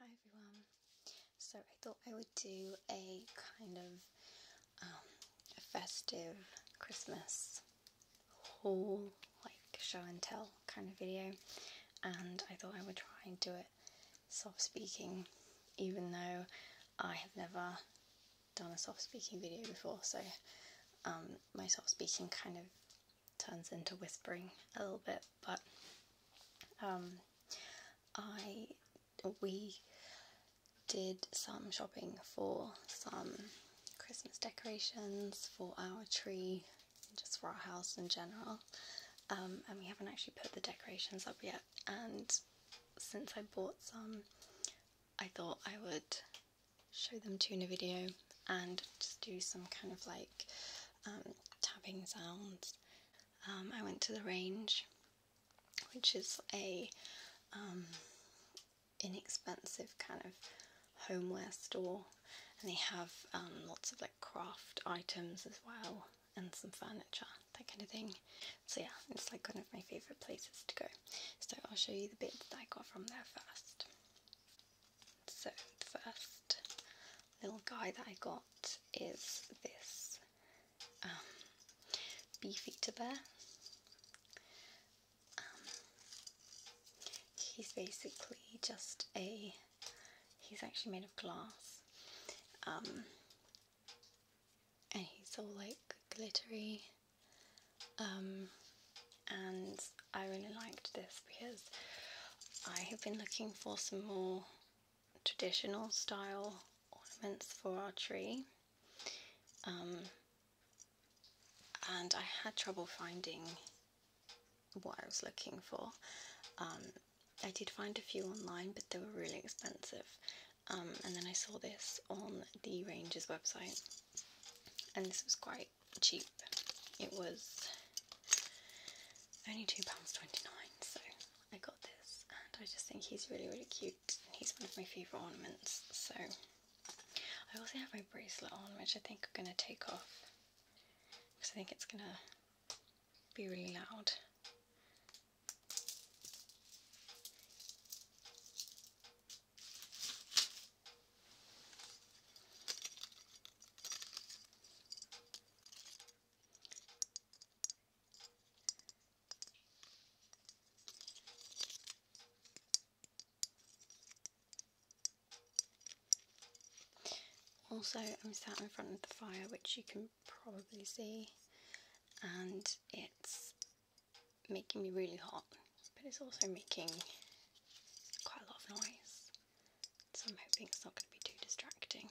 Hi everyone. So I thought I would do a kind of um, festive Christmas haul, like show and tell kind of video, and I thought I would try and do it soft speaking, even though I have never done a soft speaking video before. So um, my soft speaking kind of turns into whispering a little bit, but um, I we did some shopping for some Christmas decorations for our tree, just for our house in general. Um, and we haven't actually put the decorations up yet. And since I bought some, I thought I would show them to in a video and just do some kind of like um, tapping sounds um, I went to the range, which is a um, inexpensive kind of homeware store, and they have um, lots of like craft items as well, and some furniture, that kind of thing. So yeah, it's like one of my favourite places to go. So I'll show you the bits that I got from there first. So first little guy that I got is this um, Beefeater Bear. Um, he's basically just a, he's actually made of glass. Um, and he's all like glittery. Um, and I really liked this because I have been looking for some more traditional style ornaments for our tree. Um, and I had trouble finding what I was looking for. Um, I did find a few online, but they were really expensive. Um, and then I saw this on the Rangers website, and this was quite cheap. It was only £2.29, so I got this and I just think he's really, really cute he's one of my favourite ornaments. So I also have my bracelet on, which I think I'm going to take off because I think it's going to be really loud. Also, I'm sat in front of the fire, which you can probably see, and it's making me really hot, but it's also making quite a lot of noise. So I'm hoping it's not going to be too distracting.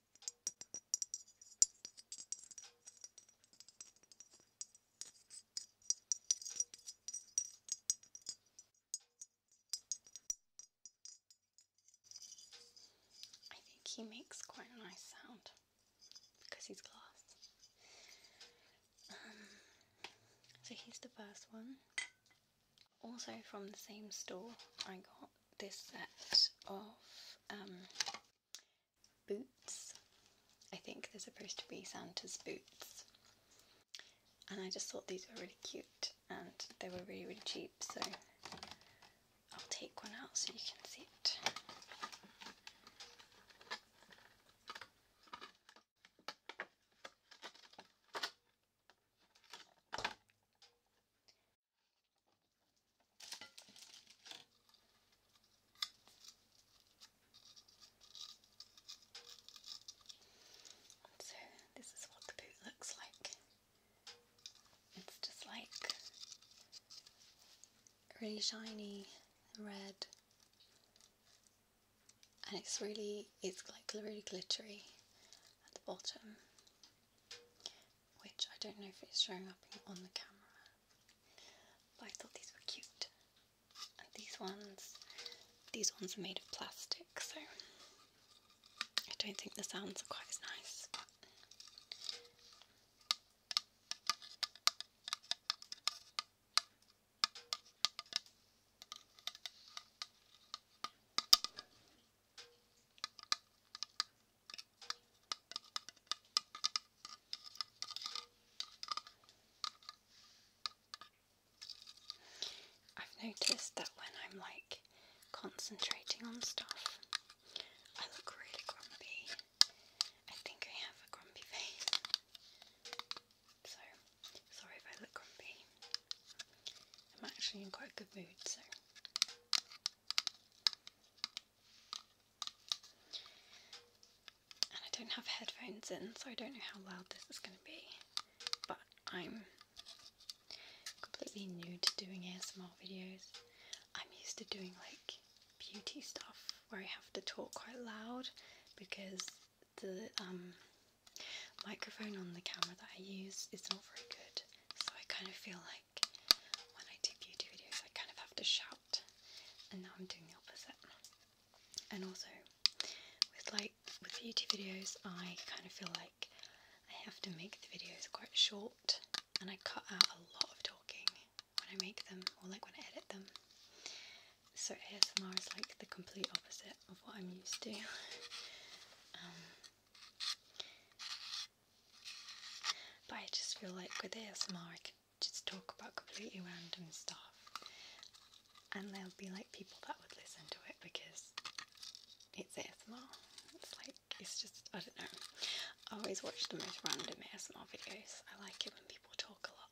I think he makes quite a nice sound because he's glass. Um, so here's the first one. Also from the same store I got this set of um, Boots. I think they're supposed to be Santa's boots. And I just thought these were really cute and they were really, really cheap, so I'll take one out so you can see it. So this is what the boot looks like. It's just like really shiny red and it's really it's like really glittery at the bottom which I don't know if it's showing up on the camera, but I thought these were cute. And these ones, these ones are made of plastic, so I don't think the sounds are quite as nice. I've noticed that when I'm like concentrating on stuff, I look really grumpy. I think I have a grumpy face. So, sorry if I look grumpy. I'm actually in quite a good mood, so and I don't have headphones in, so I don't know how loud this is going to be. But I'm completely new to doing ASMR videos. I'm used to doing like beauty stuff where I have to talk quite loud because the um, microphone on the camera that I use is not very good. So I kind of feel like when I do beauty videos, I kind of have to shout, and now I'm doing the opposite. And also, with like with beauty videos, I kind of feel like I have to make the videos quite short, and I cut out a lot of talking when I make them or like when I edit them. So ASMR is like the complete opposite of what I'm used to. Um, but I just feel like with ASMR, I can just talk about completely random stuff, and there'll be like people that would listen to it because it's ASMR. It's like it's just I don't know. I always watch the most random ASMR videos. I like it when people talk a lot.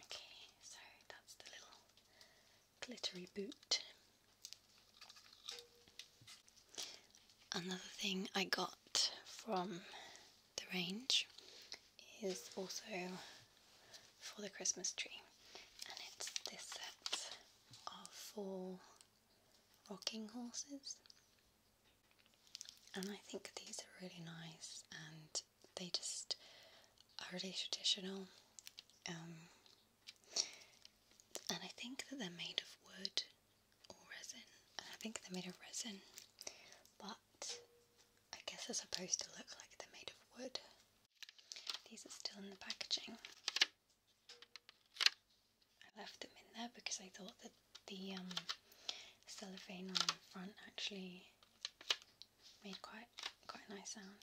Okay, so that's the little glittery boot. Another thing I got from the range is also for the Christmas tree and it's this set of four rocking horses and I think these are really nice and they just are really traditional um, and I think that they're made of wood or resin. And I think they're made of resin, but I guess they're supposed to look like they're made of wood. These are still in the packaging. I left them in there because I thought that the um, cellophane on the front actually made quite quite a nice sound.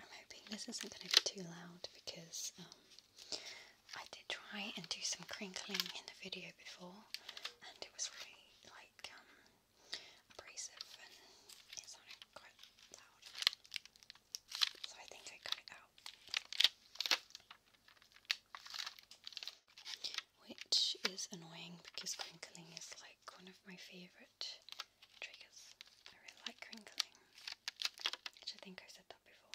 I'm hoping this isn't going to be too loud because um, I did try and do some crinkling in the video before and it was really like um, abrasive and it quite loud. So I think I cut it out. Which is annoying because crinkling is like one of my favourite triggers. I really like crinkling which I think I said that before.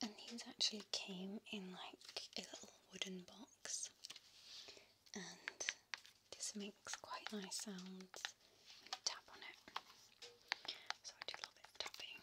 And these actually came in like a little wooden box, and this makes quite nice sounds when you tap on it. So I do a little bit of tapping.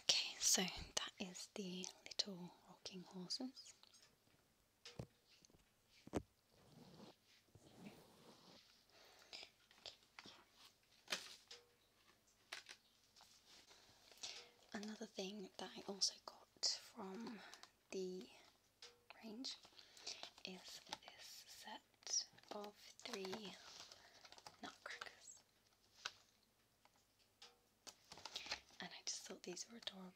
Okay, so that is the little rocking horses. Another thing that I also got from the range is this set set of three nutcrackers. And I just thought these were adorable.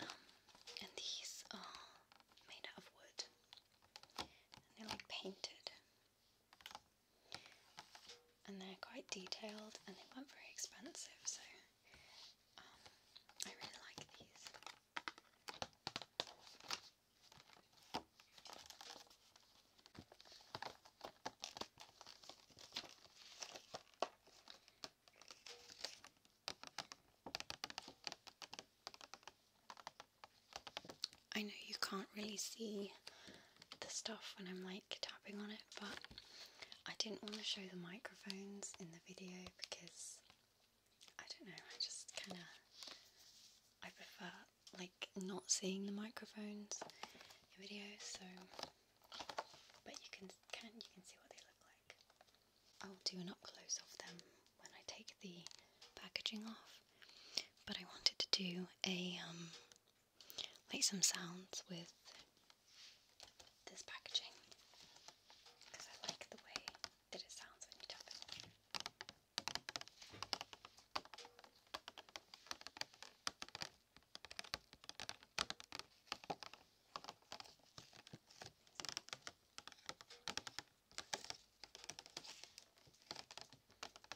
Um, and these are made out of wood they're like painted and they're quite detailed and they weren't very expensive, so um, I really like these. I know you can't really see the stuff when I'm like tapping on it, but I didn't want to show the microphones in the video because I don't know, I just kind of I prefer like not seeing the microphones in videos, so but you can can you can see what they look like. I'll do an up close of them when I take the packaging off but I wanted to do a um, some sounds with this packaging because I like the way that it sounds when you tap it.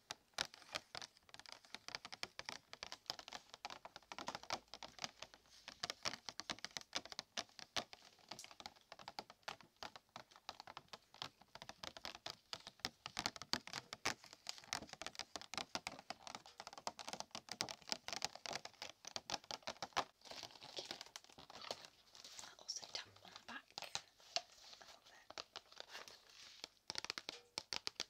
I also tap on the back a little bit.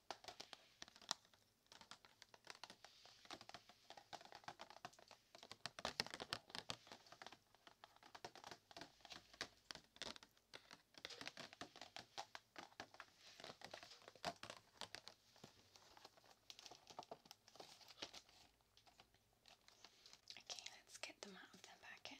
Okay, let's get them out of their packet.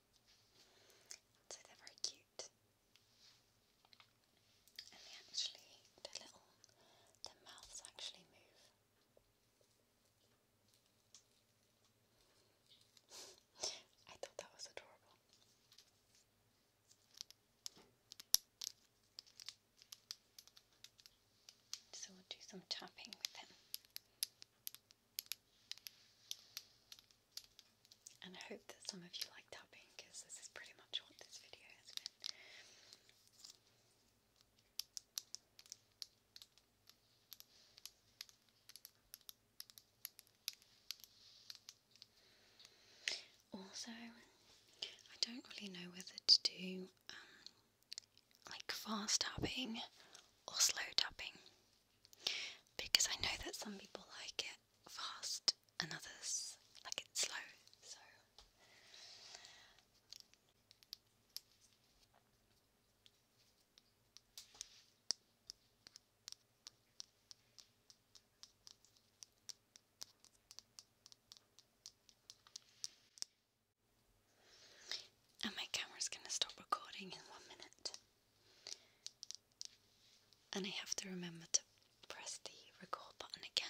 So they're very cute. And they actually, the little, their mouths actually move. I thought that was adorable. So we'll do some tapping with him. And I hope that some of you like tapping because this is pretty much what this video has been. Also, I don't really know whether to do um, like fast tapping or slow tapping because I know that some people like it fast and others like it slow. So and my camera's going to stop recording in one minute. And I have to remember to press the record button again.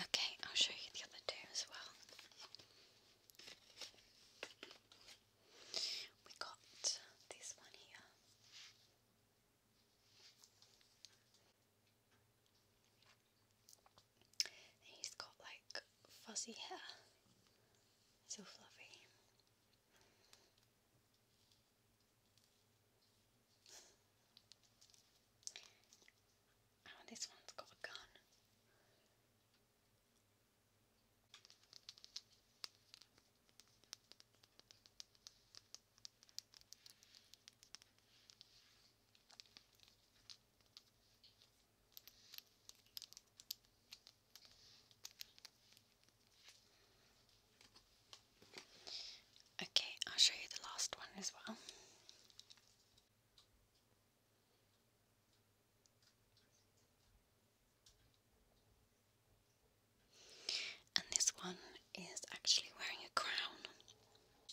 Okay, I'll show you the other two as well. We got this one here he's got like fuzzy hair. It's fluffy. Oh, this one's got a gun. Okay, I'll show you the last one as well. And this one is actually wearing a crown.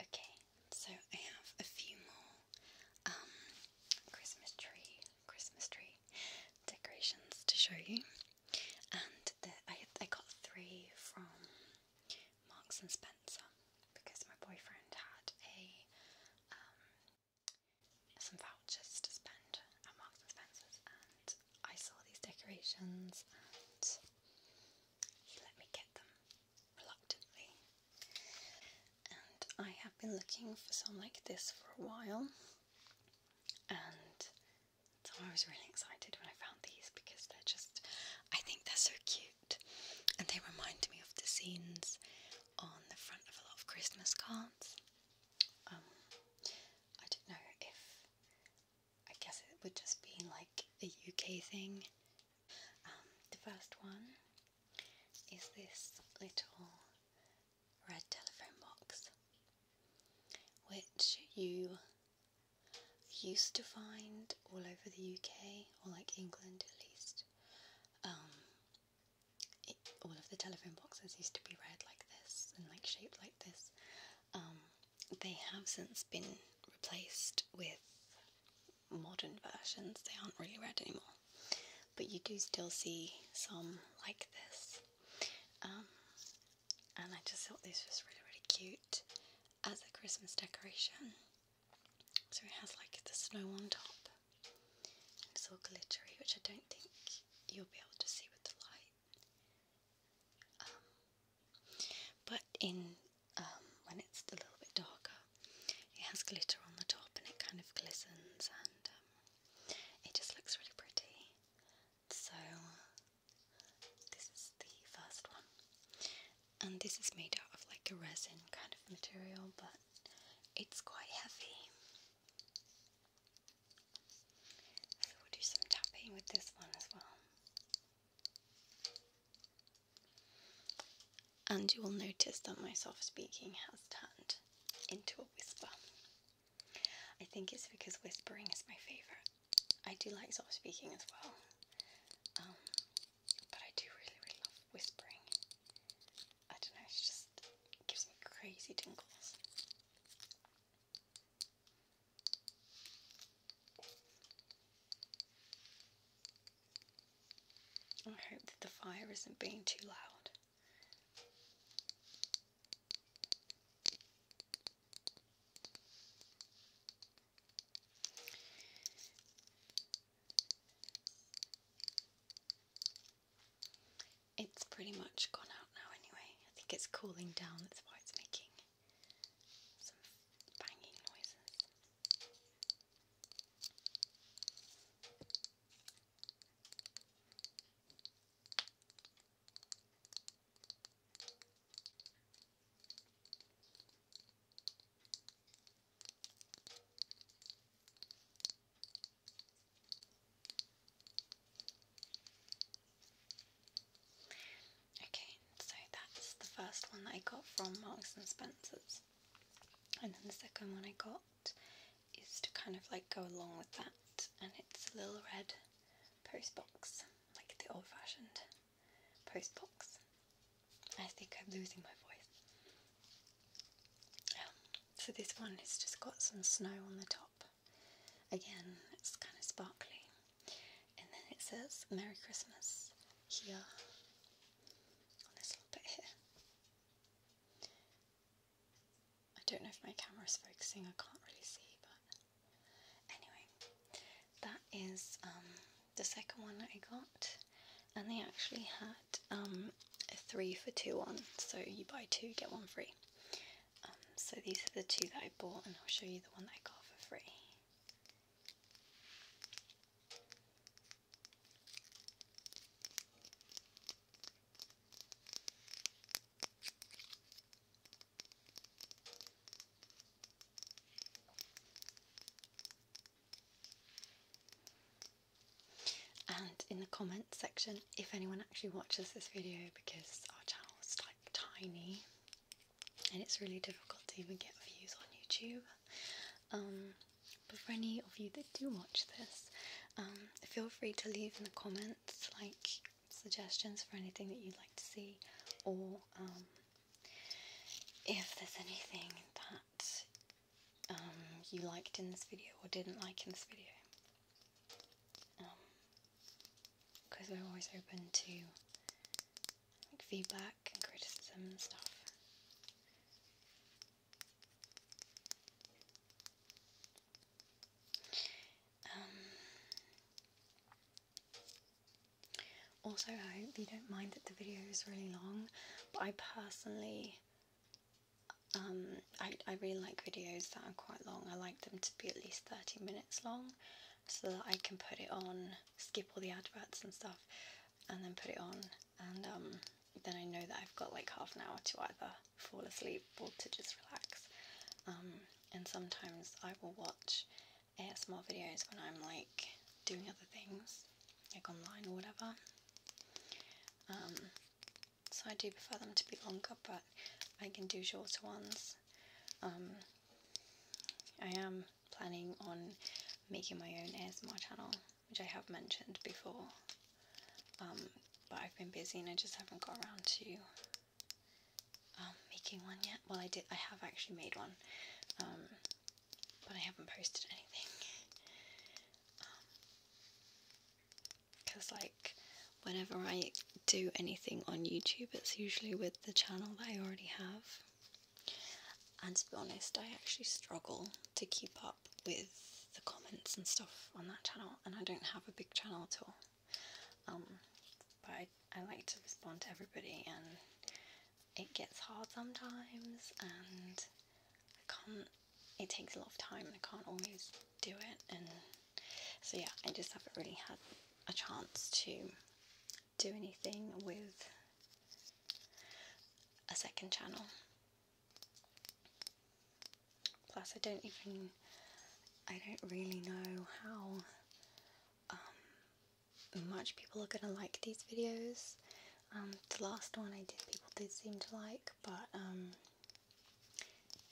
Okay, so I have a few more um, Christmas tree Christmas tree decorations to show you, and the, I I got three from Marks and Spencer because my boyfriend had a um, some vouchers to spend at Marks and Spencer, and I saw these decorations and he let me get them reluctantly. And I have been looking for some like this for a while, and so I was really excited when I found these because they're just, I think they're so cute. And they remind me of the scenes on the front of a lot of Christmas cards. Um, I don't know if, I guess it would just be like a UK thing. Um, the first one is this little red telephone box, which you used to find all over the UK or like England at least. Um, all of the telephone boxes used to be red like this and like shaped like this. Um, they have since been replaced with modern versions. They aren't really red anymore. But you do still see some like this. Um, and I just thought this was really, really cute as a Christmas decoration. So it has like the snow on top. And it's all glittery, which I don't think you'll be able to see with the light. Um, but in um, when it's a little bit darker, it has glitter on the top and it kind of glistens and it just looks really pretty. So, this is the first one, and this is made out of like a resin kind of material, but it's quite heavy. we'll do some tapping with this one as well. And you will notice that my soft speaking has turned into a whisper. I think it's because whispering is my favourite. I do like soft speaking as well, um, but I do really, really love whispering. I don't know, it just gives me crazy tingles. I hope that the fire isn't being too loud. It's pretty much gone out now anyway. I think it's cooling down, that's why it's making some banging noises. Okay, so that's the first one that I got from Marks and Spencer's, and then the second one I got is to kind of like go along with that, and it's a little red post box, like the old fashioned post box. I think I'm losing my voice. Um, so, this one has just got some snow on the top. Again, it's kind of sparkly. And then it says Merry Christmas here on this little bit here. I don't know if my camera is focusing, I can't really see, but anyway, that is um, the second one that I got, and they actually had um, a three for two one. so you buy two, get one free. Um, so these are the two that I bought, and I'll show you the one that I got for free and in the comments section if anyone actually watches this video because our channel is like tiny and it's really difficult to even get views on YouTube um, but for any of you that do watch this um, feel free to leave in the comments like suggestions for anything that you'd like to see, or um, if there's anything that um, you liked in this video or didn't like in this video. Because um, we're always open to feedback and criticism and stuff. Um, also, I hope you don't mind that the video is really long, but I personally, um, I, I really like videos that are quite long. I like them to be at least 30 minutes long so that I can put it on, skip all the adverts and stuff, and then put it on, and um, then I know that I've got like half an hour to either fall asleep or to just relax. Um, and sometimes I will watch ASMR videos when I'm like doing other things, like online or whatever. Um, so I do prefer them to be longer, but I can do shorter ones. Um, I am planning on making my own ASMR channel, which I have mentioned before. Um, but I've been busy and I just haven't got around to um, making one yet. Well, I did. I have actually made one, um, but I haven't posted anything. Um, Cause like, whenever I do anything on YouTube, it's usually with the channel that I already have. And to be honest, I actually struggle to keep up with the comments and stuff on that channel, and I don't have a big channel at all. Um, but I, I like to respond to everybody, and it gets hard sometimes, and I can't. It takes a lot of time, and I can't always do it. And so yeah, I just haven't really had a chance to do anything with a second channel. Plus, I don't even, I don't really know how um, much people are gonna like these videos. Um, the last one I did, people did seem to like, but um,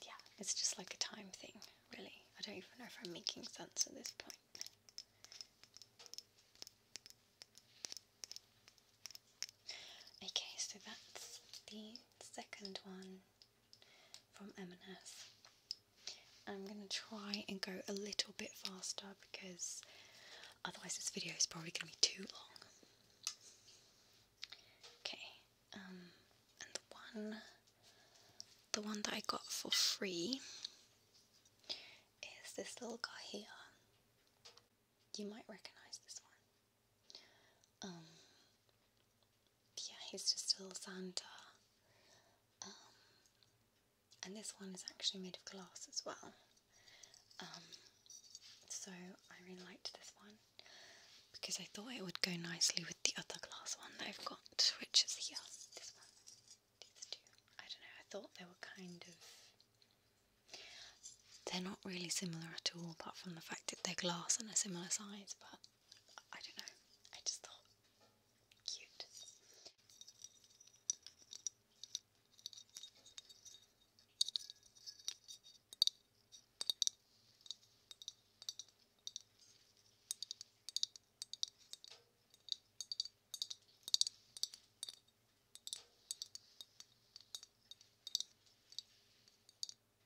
yeah, it's just like a time thing, really. I don't even know if I'm making sense at this point. Okay, so that's the second one from M&S. I'm going to try and go a little bit faster because otherwise this video is probably going to be too long. Okay, um, the one, the one that I got for free is this little guy here. You might recognise this one. Um, yeah, he's just a little Santa. Um, and this one is actually made of glass as well. Um, so I really liked this one because I thought it would go nicely with the other glass one that I've got, which is here. This one, these two. I don't know. I thought they were kind of. They're not really similar at all, apart from the fact that they're glass and a similar size, but I don't know. I just thought cute.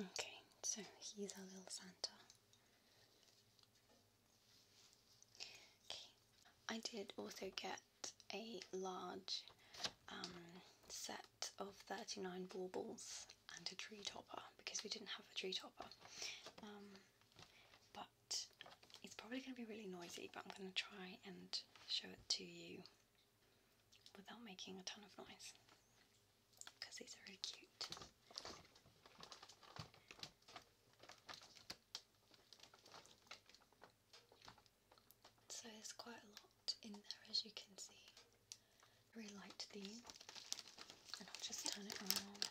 Okay, so he's our little Santa. Okay, I did also get a large um, set of 39 baubles and a tree topper because we didn't have a tree topper. Um, but it's probably going to be really noisy, but I'm going to try and show it to you without making a ton of noise because these are really cute. So there's quite a lot in there as you can see. I really liked and I'll just turn it around.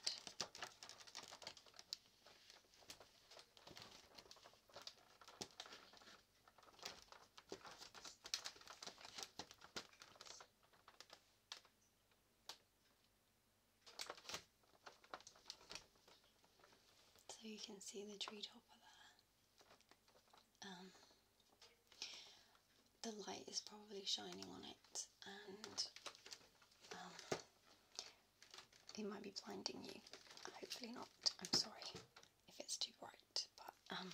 So you can see the treetopper there. Um, the light is probably shining on it and it um, might be blinding you. Hopefully not. I'm sorry if it's too bright, but um,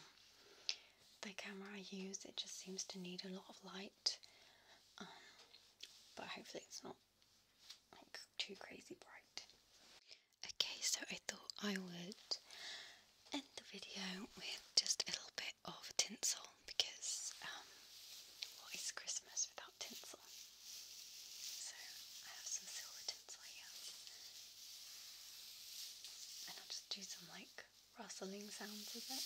the camera I use it just seems to need a lot of light. Um, but hopefully it's not too crazy bright. Okay, so I thought I would end the video with just a little bit of tinsel because um, what is Christmas without tinsel? So I have some silver tinsel here, and I'll just do some like rustling sounds with it.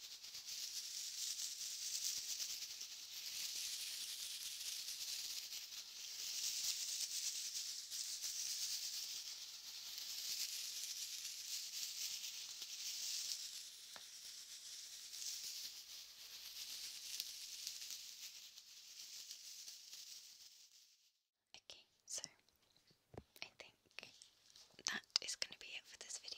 Okay, so I think that is going to be it for this video.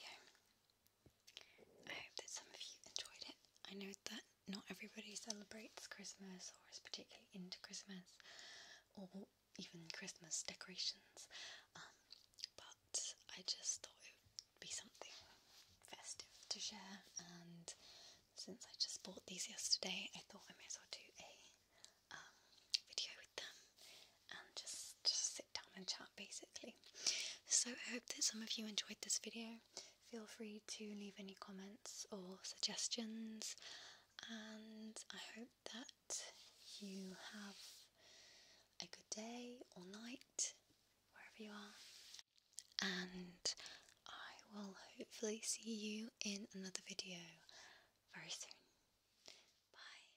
I hope that some of you enjoyed it. I know that not everybody celebrates Christmas or is particularly into Christmas or even Christmas decorations, um, but I just thought it would be something festive to share. And since I just bought these yesterday, I thought I might as well do a um, video with them and just just down and chat basically. So I hope that some of you enjoyed this video. Feel free to leave any comments or suggestions, and I hope that you have a good day or night wherever you are. And I will hopefully see you in another video very soon. Bye.